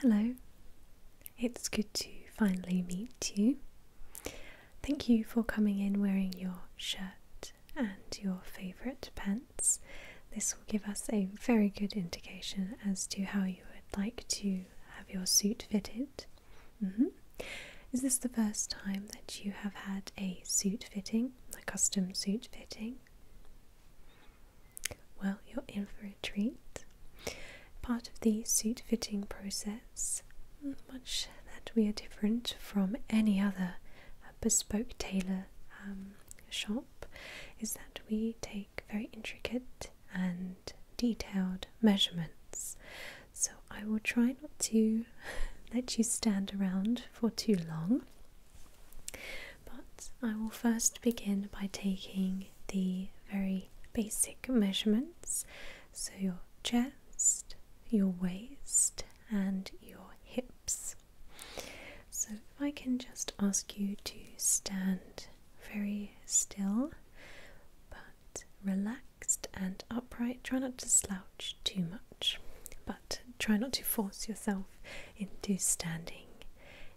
Hello, it's good to finally meet you. Thank you for coming in wearing your shirt and your favourite pants. This will give us a very good indication as to how you would like to have your suit fitted. Mm-hmm. Is this the first time that you have had a suit fitting, a custom suit fitting? Well, you're in for a treat. Part of the suit fitting process, much that we are different from any other uh, bespoke tailor um, shop, is that we take very intricate and detailed measurements. So I will try not to let you stand around for too long. But I will first begin by taking the very basic measurements so your chest, your waist, and your hips. So, if I can just ask you to stand very still but relaxed and upright, try not to slouch too much, but try not to force yourself into standing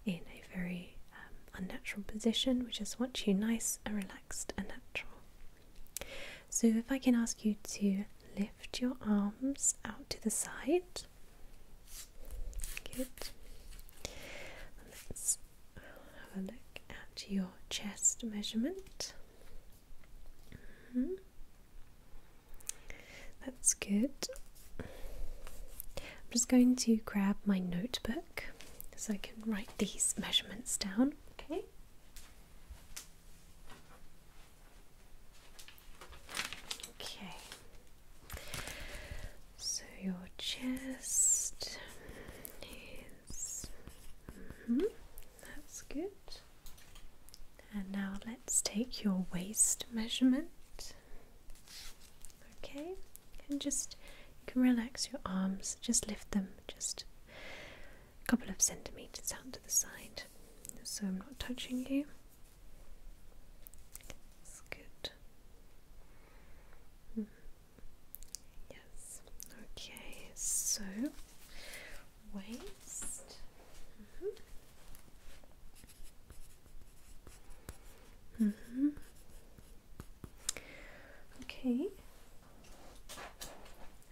in a very um, unnatural position. which just want you nice and relaxed and natural. So, if I can ask you to lift your arms out to the side. Good. Let's have a look at your chest measurement. Mm-hmm. That's good. I'm just going to grab my notebook so I can write these measurements down, okay? Okay. So your chest is. Mm-hmm, that's good. And now let's take your waist measurement. Okay, and just you can relax your arms, just lift them just a couple of centimeters out to the side so I'm not touching you. That's good. Hmm. Yes, okay, so waist. Mm-hmm. Mm -hmm. Okay.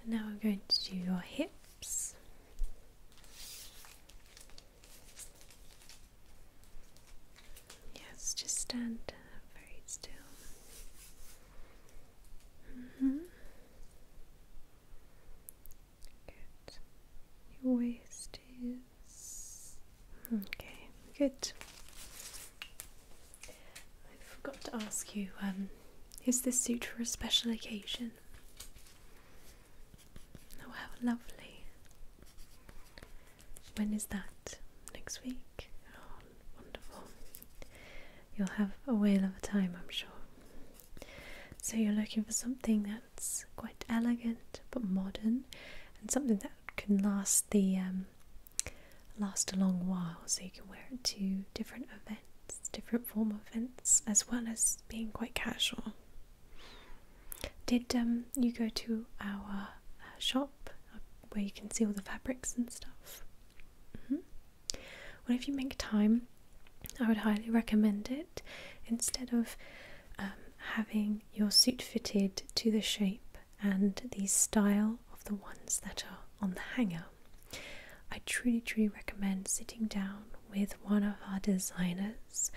And now I'm going to do your hips. Yes, just stand very still. Mm -hmm. Good. Your waist is okay. Good. I forgot to ask you. Um, is this suit for a special occasion? Oh, how lovely. When is that? Next week? Oh, wonderful. You'll have a whale of a time, I'm sure. So, you're looking for something that's quite elegant but modern and something that can last the um, last a long while. So you can wear it to different events, different form of events, as well as being quite casual. Did um, you go to our uh, shop uh, where you can see all the fabrics and stuff? Mm Well, if you make time, I would highly recommend it instead of um, having your suit fitted to the shape and the style of the ones that are on the hanger. I truly, truly recommend sitting down with one of our designers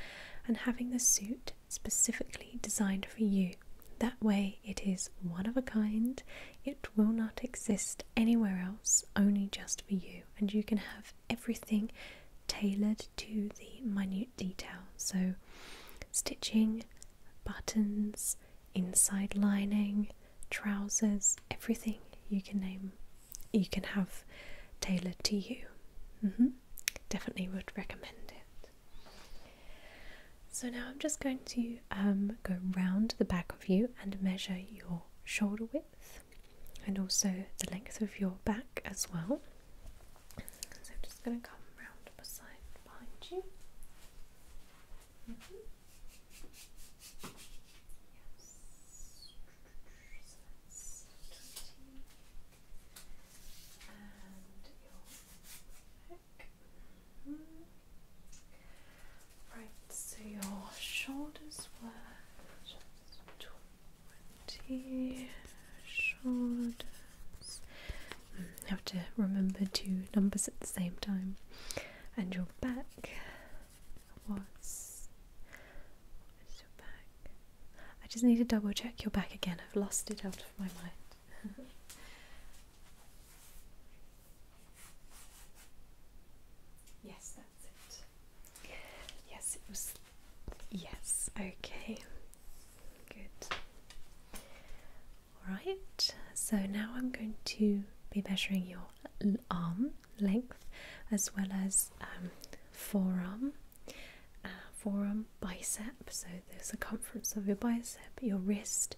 and having the suit specifically designed for you. That way, it is one of a kind, it will not exist anywhere else, only just for you, and you can have everything tailored to the minute detail. So, stitching, buttons, inside lining, trousers, everything you can name, you can have tailored to you. Mm-hmm. Definitely would recommend it. So, now I'm just going to um, go round the back of you and measure your shoulder width and also the length of your back as well. So I'm just going to come round beside behind you. Mm-hmm. Mm-hmm. Right, so your shoulders were twenty shoulders. Mm, you have to remember two numbers at the same time. And your back was. What is your back? I just need to double check your back again. I've lost it out of my mind. yes, Yes, it was. Yes, okay. Good. Alright, so now I'm going to be measuring your arm length as well as um, forearm, uh, forearm, bicep, so the circumference of your bicep, your wrist,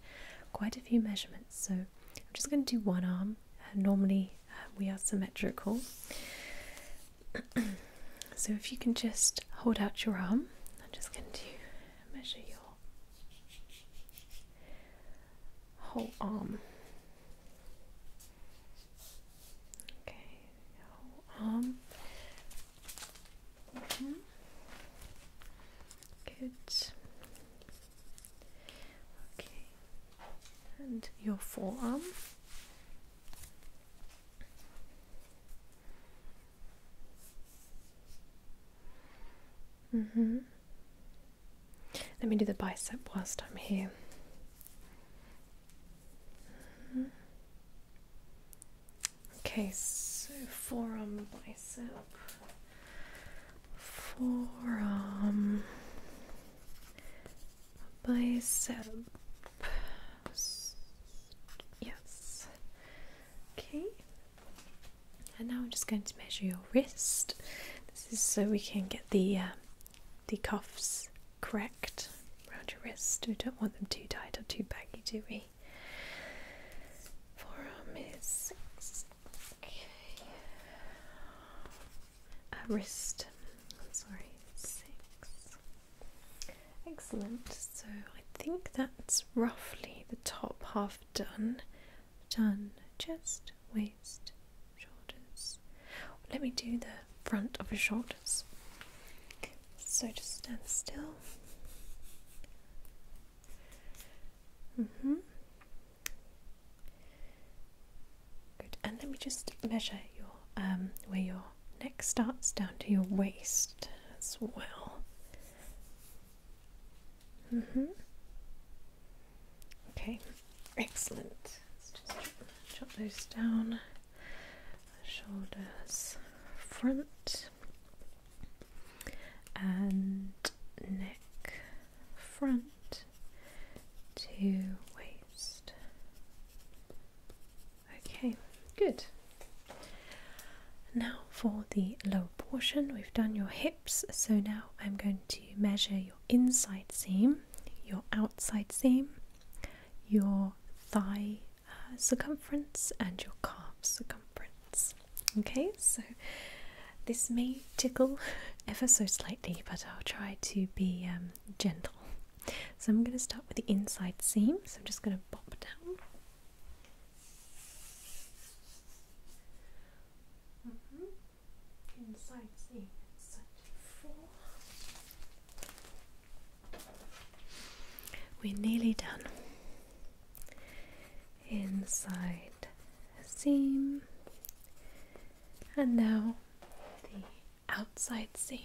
quite a few measurements. So I'm just going to do one arm. Uh, normally uh, we are symmetrical. so if you can just hold out your arm, I'm just going to measure your whole arm. Okay, whole arm. Mm-hmm. Good. Okay, and your forearm. Mm hmm Let me do the bicep whilst I'm here. Mm-hmm. Okay, so forearm bicep. Forearm bicep. Yes. Okay. And now I'm just going to measure your wrist. This is so we can get the um, the cuffs correct around your wrist. We don't want them too tight or too baggy, do we? Forearm is wrist. sorry, six. Excellent. So I think that's roughly the top half done. Done. Chest, waist, shoulders. Let me do the front of your shoulders. So just stand still. Mm-hmm. Good. And let me just measure your um, where your neck starts down to your waist as well. Mm-hmm. Okay, excellent. Let's just jot those down. Shoulders front and neck front to waste. Okay, good. Now for the lower portion, we've done your hips, so now I'm going to measure your inside seam, your outside seam, your thigh uh, circumference, and your calf circumference. Okay, so this may tickle ever so slightly, but I'll try to be um, gentle. So I'm going to start with the inside seam. So I'm just going to pop down. Mm-hmm. Inside seam, inside four. We're nearly done. Inside seam, and now the outside seam.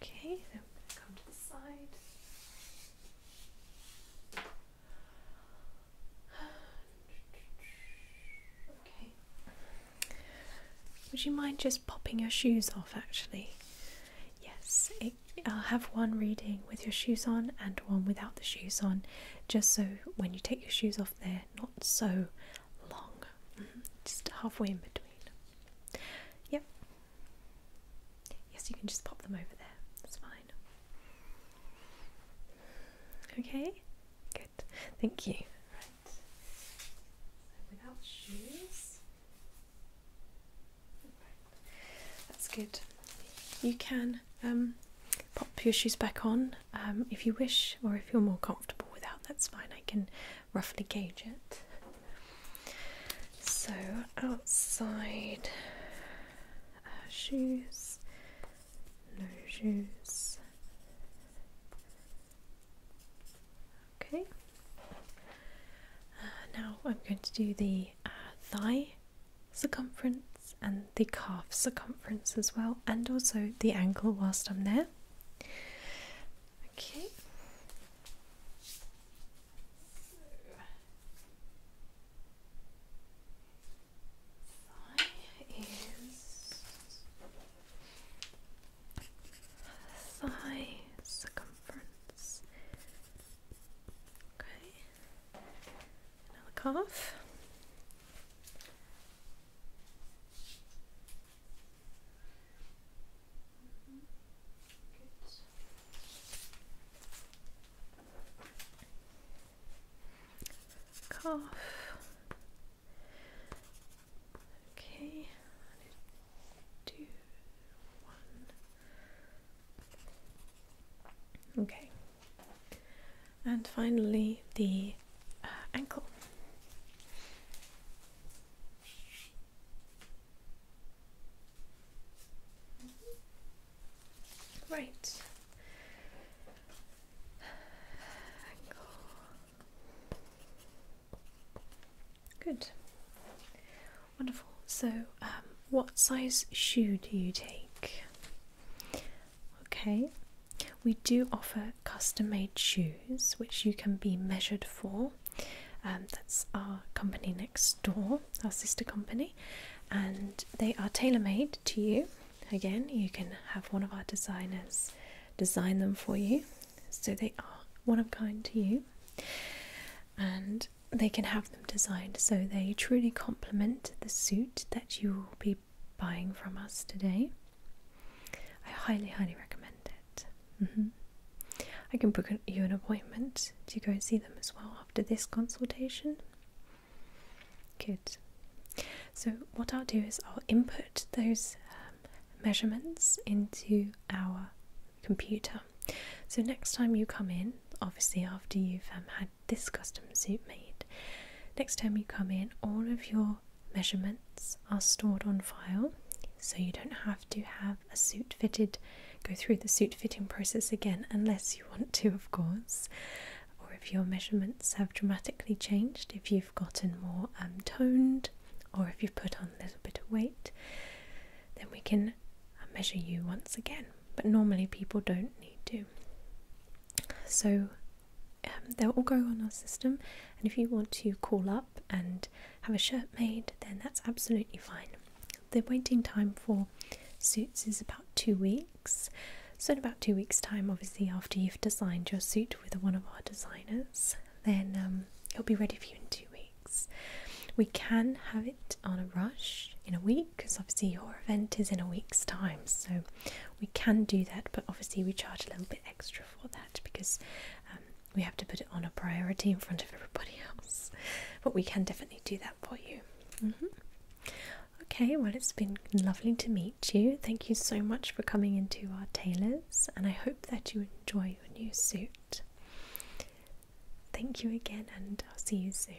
Okay, Okay. Would you mind just popping your shoes off actually? Yes, I'll have one reading with your shoes on and one without the shoes on, just so when you take your shoes off, off there, not so long, mm-hmm. just halfway in between. Yep. Yes, you can just pop them over there, that's fine. Okay, good, thank you. Right. without shoes. Right. That's good. You can um, pop your shoes back on um, if you wish, or if you're more comfortable without, that's fine. I can roughly gauge it. So, outside uh, shoes, no shoes. Okay. Uh, now I'm going to do the uh, thigh circumference and the calf circumference as well and also the ankle. whilst I'm there. Okay. thigh circumference. Okay. Another cough. Mm Okay, do one. Okay, and finally the uh, ankle. Right. Good. Wonderful. So, um, what size shoe do you take? Okay, we do offer custom made shoes which you can be measured for. Um, that's our company next door, our sister company, and they are tailor made to you. Again, you can have one of our designers design them for you, so they are one of kind to you, and they can have them designed so they truly complement the suit that you will be buying from us today. I highly, highly recommend it. Mm-hmm. I can book you an appointment to go and see them as well after this consultation. Good. So, what I'll do is I'll input those um, measurements into our computer. So, next time you come in, obviously, after you've um, had this custom suit made. Next time you come in, all of your measurements are stored on file so you don't have to have a suit fitted, go through the suit fitting process again unless you want to, of course. Or if your measurements have dramatically changed, if you've gotten more um, toned, or if you've put on a little bit of weight, then we can uh, measure you once again. But normally people don't need to. So um, they'll all go on our system, and if you want to call up and have a shirt made, then that's absolutely fine. The waiting time for suits is about two weeks. So, in about two weeks' time, obviously, after you've designed your suit with one of our designers, then um, it'll be ready for you in two weeks. We can have it on a rush in a week because obviously your event is in a week's time, so we can do that, but obviously we charge a little bit extra for that because um, we have to put it on a priority in front of everybody else. But we can definitely do that for you. Mm-hmm. Okay, well, it's been lovely to meet you. Thank you so much for coming into our tailors, and I hope that you enjoy your new suit. Thank you again, and I'll see you soon.